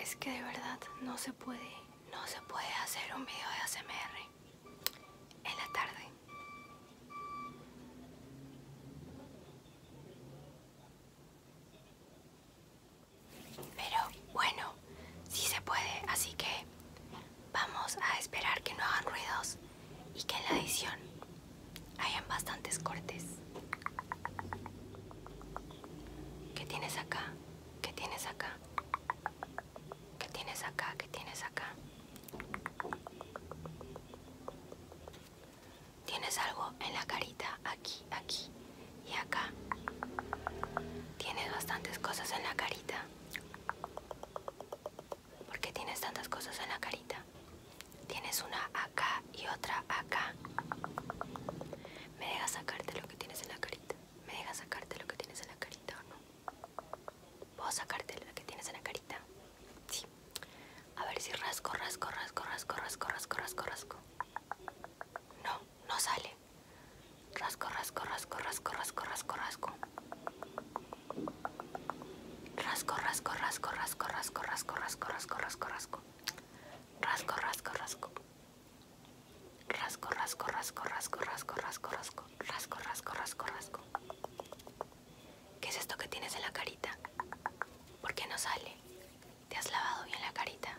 Es que de verdad no se puede, no se puede hacer un video de ASMR en la tarde. Pero bueno, sí se puede, así que vamos a esperar que no hagan ruidos y que en la edición hayan bastantes cortes. ¿Qué tienes acá? ¿Qué tienes acá? ¿Qué tienes acá? ¿Qué tienes acá? Tienes algo en la carita, aquí, aquí y acá. Tienes bastantes cosas en la carita. ¿Por qué tienes tantas cosas en la carita? Tienes una acá y otra acá. ¿Me dejas sacarte lo que tienes en la carita? ¿Me dejas sacarte lo que tienes en la carita o no? ¿Puedo sacarte lo que tienes en la carita? Sí. A ver si rasco, rasco, rasco, rasco, rasco, rasco, rasco, rasco. No, no sale rasco Rasco, rasco, rasco, rasco, rasco, rasco, rasco. Rasco, rasco, rasco, rasco, rasco, rasco, rasco, rasco, rasco, rasco. Rasco, rasco, rasco. Rasco, rasco, rasco, rasco, rasco, rasco, rasco. Rasco, rasco, rasco, rasco. ¿Qué es esto que tienes en la carita? ¿Por qué no sale? ¿Te has lavado bien la carita?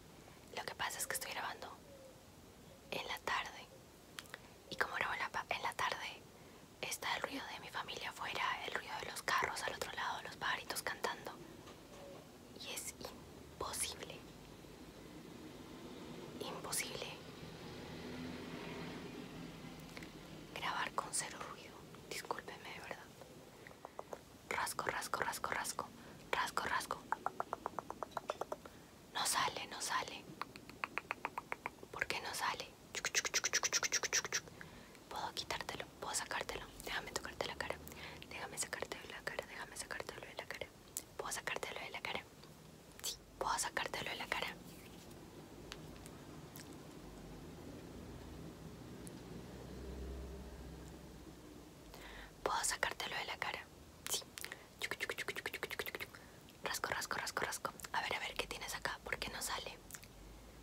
lo que pasa es que estoy grabando en la tarde. Y como grabo en la tarde, está el ruido de mi familia afuera, el ruido de los carros al otro lado, los pajaritos cantando. Y es imposible. Imposible. Grabar con cero ruido. Discúlpeme de verdad. Rasco, rasco, rasco, rasco. Rasco, rasco. No sale, no sale. ¿Por qué no sale? Puedo quitártelo, puedo sacártelo. Déjame tocarte la cara. Déjame sacártelo de la cara, déjame sacártelo de la cara. ¿Puedo sacártelo de la cara? Sí, puedo sacártelo de la cara. Puedo sacártelo de la cara. Sí. Rasco, rasco, rasco, rasco. A ver, a ver, ¿qué tienes acá? ¿Por qué no sale?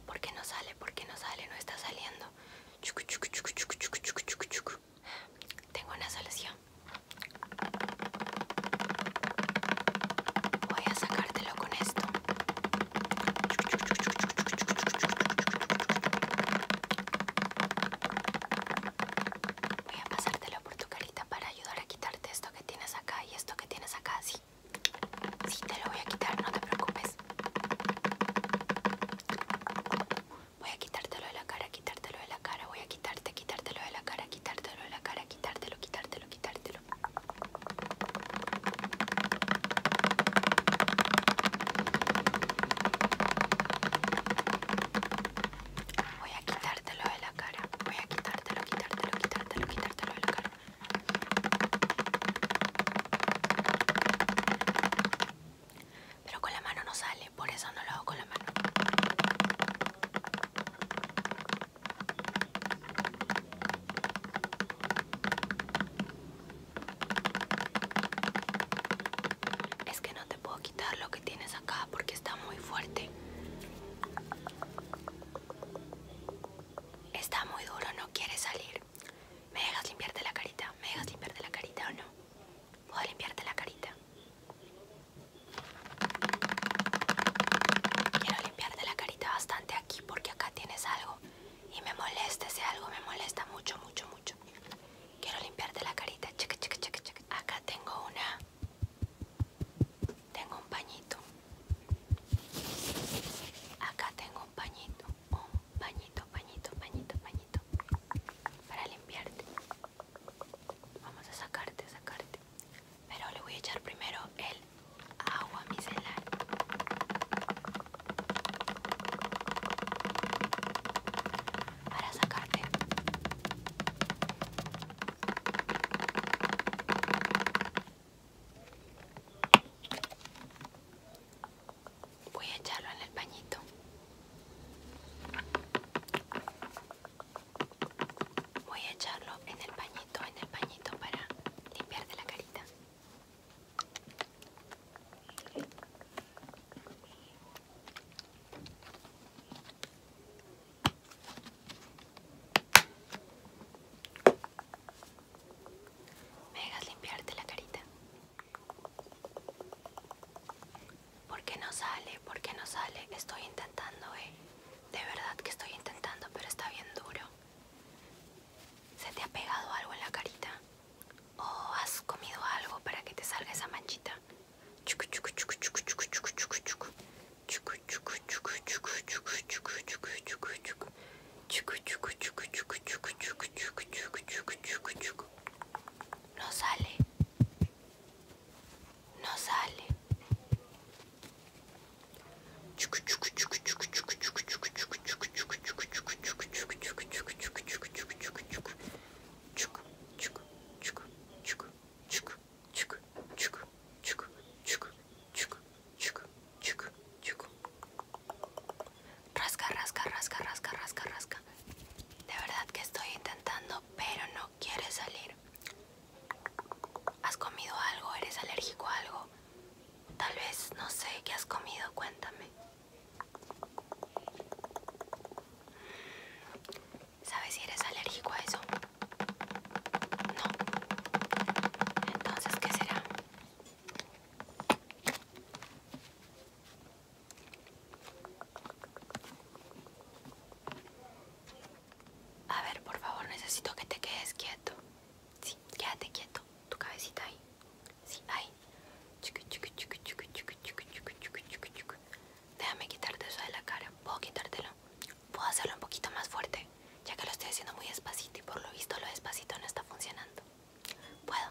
¿Por qué no sale? ¿Por qué no sale? No está saliendo. Tengo una solución. Voy a sacártelo con esto. Voy a pasártelo por tu carita para ayudar a quitarte esto que tienes acá y esto que tienes acá, sí. Sí, te lo voy a quitar, no te preocupes. Voy a quitártelo de la cara, quitártelo de la cara, voy a quitarte, quitártelo de la cara, quitártelo de la cara, quitártelo, quitártelo, quitártelo. Voy a quitártelo de la cara. Voy a quitártelo, quitártelo, quitártelo, quitártelo de la cara. Pero con la mano no sale, por eso no lo hago con la mano. Es que no te puedo quitar lo que tienes acá porque está muy fuerte. Está muy duro, no quiere salir. ¿Me dejas limpiarte la carita? ¿Me dejas limpiarte la carita o no? ¿Puedo limpiarte la carita? Quiero limpiarte la carita bastante aquí porque acá tienes algo y me molesta ese algo, me molesta mucho, mucho, mucho. Quiero limpiarte la carita. Chica, chica, chica, chica. Acá tengo una. Tengo un pañito. Acá tengo un pañito. Un pañito, pañito, pañito, pañito. Para limpiarte. Vamos a sacarte, sacarte. Pero le voy a echar primero el agua micelar para sacarte. Voy a echarlo en el pañito. Voy a echarlo en el pañito, en el pañito para limpiarte la carita. Me dejas limpiarte la carita. ¿Por qué no sale? ¿Por qué no sale? Estoy intentando, eh. De verdad que estoy intentando, pero está bien duro. ¿Se te ha pegado algo en la carita? ¿O has comido algo para que te salga esa manchita? No sale. No sale. Rasca, rasca, rasca, rasca, rasca, rasca. De verdad que estoy intentando, pero no quiere salir. ¿Has comido algo? ¿Eres alérgico a algo? Tal vez, no sé, ¿qué has comido? Cuéntame. ¿Sabes si eres alérgico a eso? No. Entonces, ¿qué será? A ver, por favor, necesito que te quedes quieto. Sí, quédate quieto, tu cabecita ahí. Sí, ahí. Déjame quitarte eso de la cara. ¿Puedo quitártelo? Puedo hacerlo un poquito más fuerte, ya que lo estoy haciendo muy espacito y por lo visto lo despacito no está funcionando. ¿Puedo?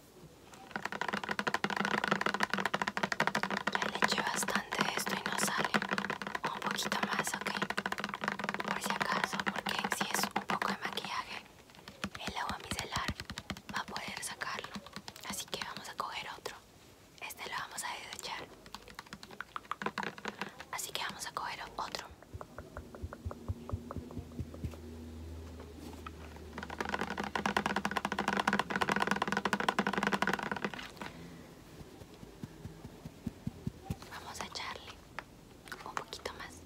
Ya le eché bastante de esto y no sale. un poquito más, ok. Por si acaso, porque si es un poco de maquillaje, el agua micelar va a poder sacarlo. Así que vamos a coger otro. Este lo vamos a desechar. Así que vamos a coger otro. Vamos a echarle un poquito más.